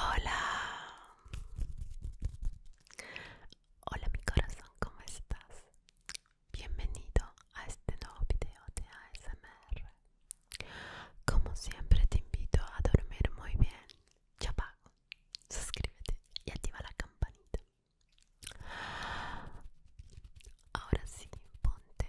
Hola, hola mi corazón, ¿cómo estás? Bienvenido a este nuevo video de ASMR. Como siempre te invito a dormir muy bien. Ya suscríbete y activa la campanita. Ahora sí, ponte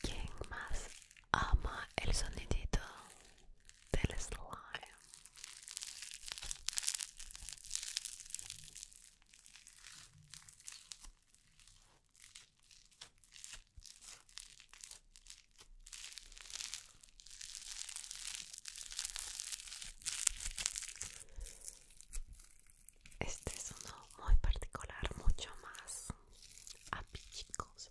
¿Quién más ama el sonidito del slime? Este es uno muy particular, mucho más apichicoso.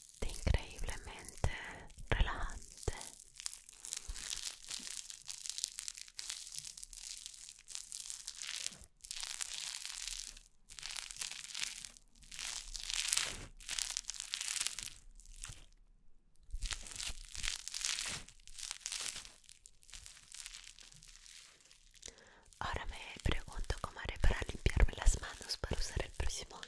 de increíblemente relajante. Ahora me pregunto cómo haré para limpiarme las manos para usar el próximo objeto.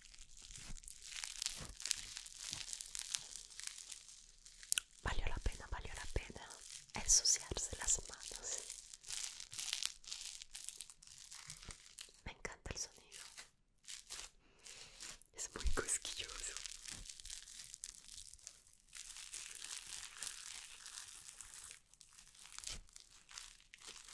Valió la pena, valió la pena ensuciarse las manos. Me encanta el sonido. Es muy cosquilloso.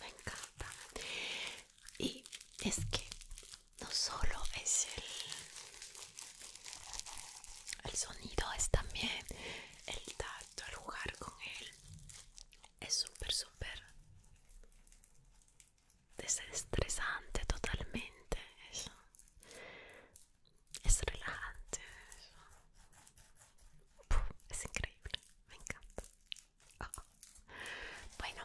Me encanta. Y es que no solo es el, sonido, es también el tacto, el jugar con él. Es súper, súper desestresante totalmente. Es relajante. es increíble. Me encanta. Bueno.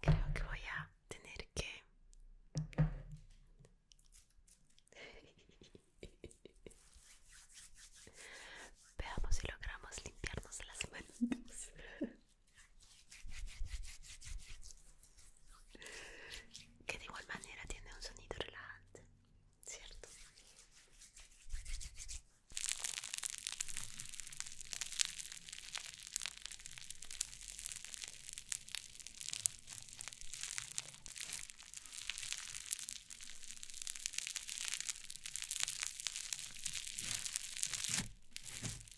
Creo que voy a tener que... Veamos si logramos limpiarnos las manos. que de igual manera tiene un sonido relajante, ¿cierto?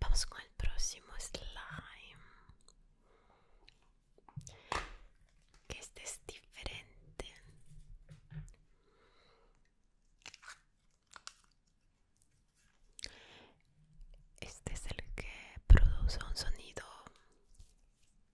Vamos con el próximo slime. Que este es diferente. Este es el que produce un sonido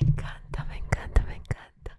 Me encanta, me encanta, me encanta.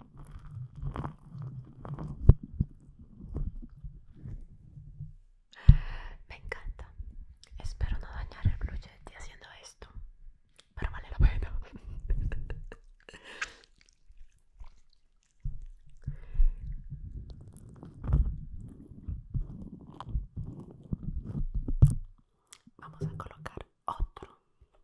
Me encanta. Espero no dañar el blue haciendo esto, pero vale la pena. Vamos a colocar otro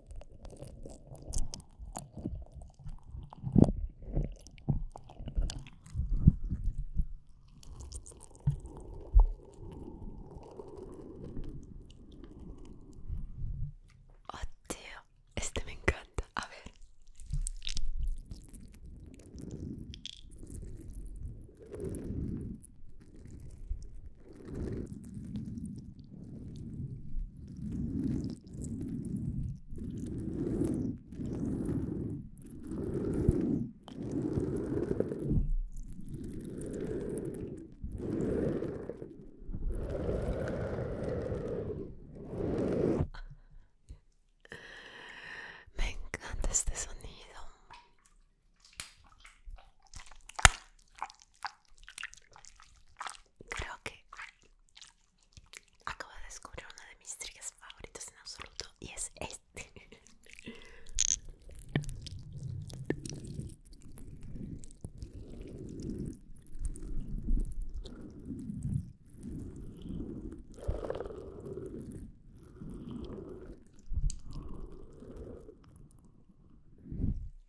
Oh, este me encanta. A ver. Me encanta este sonido. Creo que acabo de descubrir una de mis estrellas favoritas en absoluto y es este.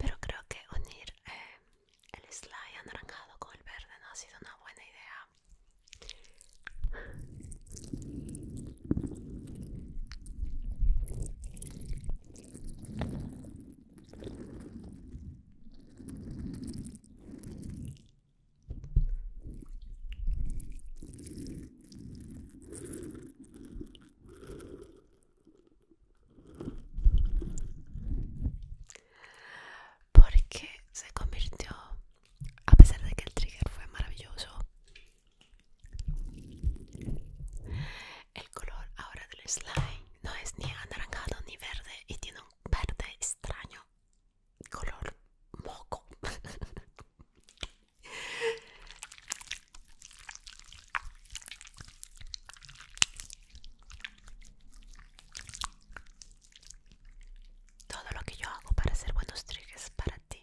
Pero creo que unir eh, el slide anaranjado con el verde no ha sido una buena idea. Porque se convirtió, a pesar de que el trigger fue maravilloso, el color ahora del slime no es ni anaranjado ni verde y tiene un verde extraño color moco. Todo lo que yo hago para hacer buenos es para ti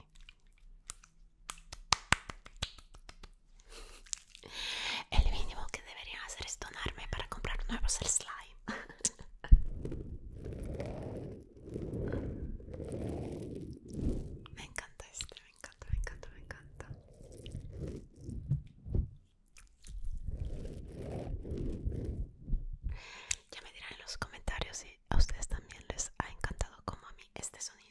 el mínimo que debería hacer es donarme para comprar nuevos el slime. Me encanta este, me encanta, me encanta, me encanta. Ya me dirán en los comentarios si a ustedes también les ha encantado como a mí este sonido.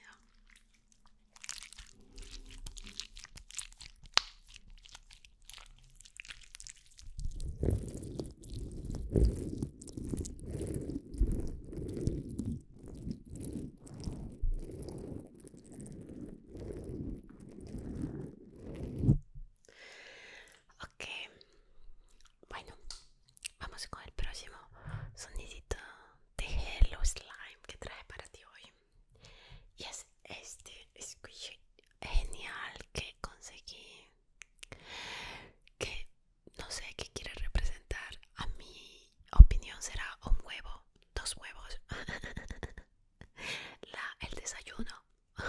Okay, bueno, vamos con el próximo sonidito de Hello Slime que traje para ti hoy. Y es este squish genial que conseguí. Que no sé qué quiere representar. A mi opinión será un huevo, dos huevos. La, el desayuno.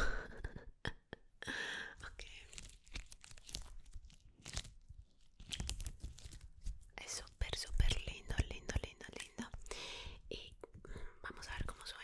Es súper, súper lindo, lindo, lindo, lindo. Y vamos a ver cómo suena.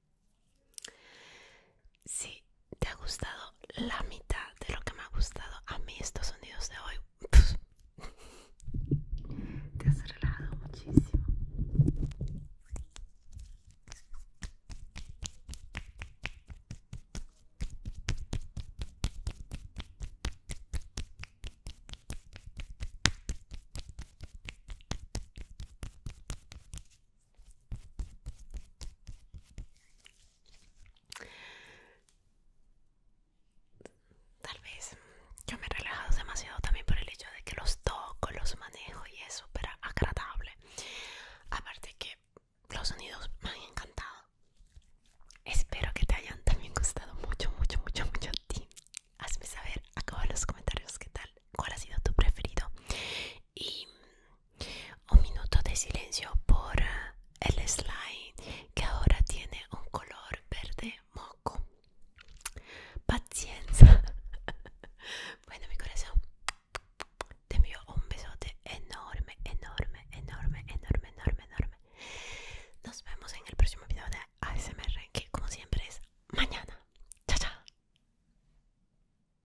Si te ha gustado la mitad de lo que me ha gustado a mí estos sonidos de hoy, pues, te has relajado muchísimo. Tal vez yo me he relajado demasiado también por el hecho de que los toco, los manejo y es súper agradable. Aparte que los sonidos me han encantado. Espero que te hayan también gustado mucho, mucho, mucho, mucho a ti. Hazme saber acá en los comentarios qué tal, cuál ha sido tu preferido. Y un minuto de silencio por eh, el slime que ahora tiene un color verde moco. Paciencia. Bueno, mi corazón. Te envío un besote enorme, enorme, enorme, enorme, enorme, enorme. Nos vemos en el próximo video de ASMR, que como siempre es mañana. Chao, chao.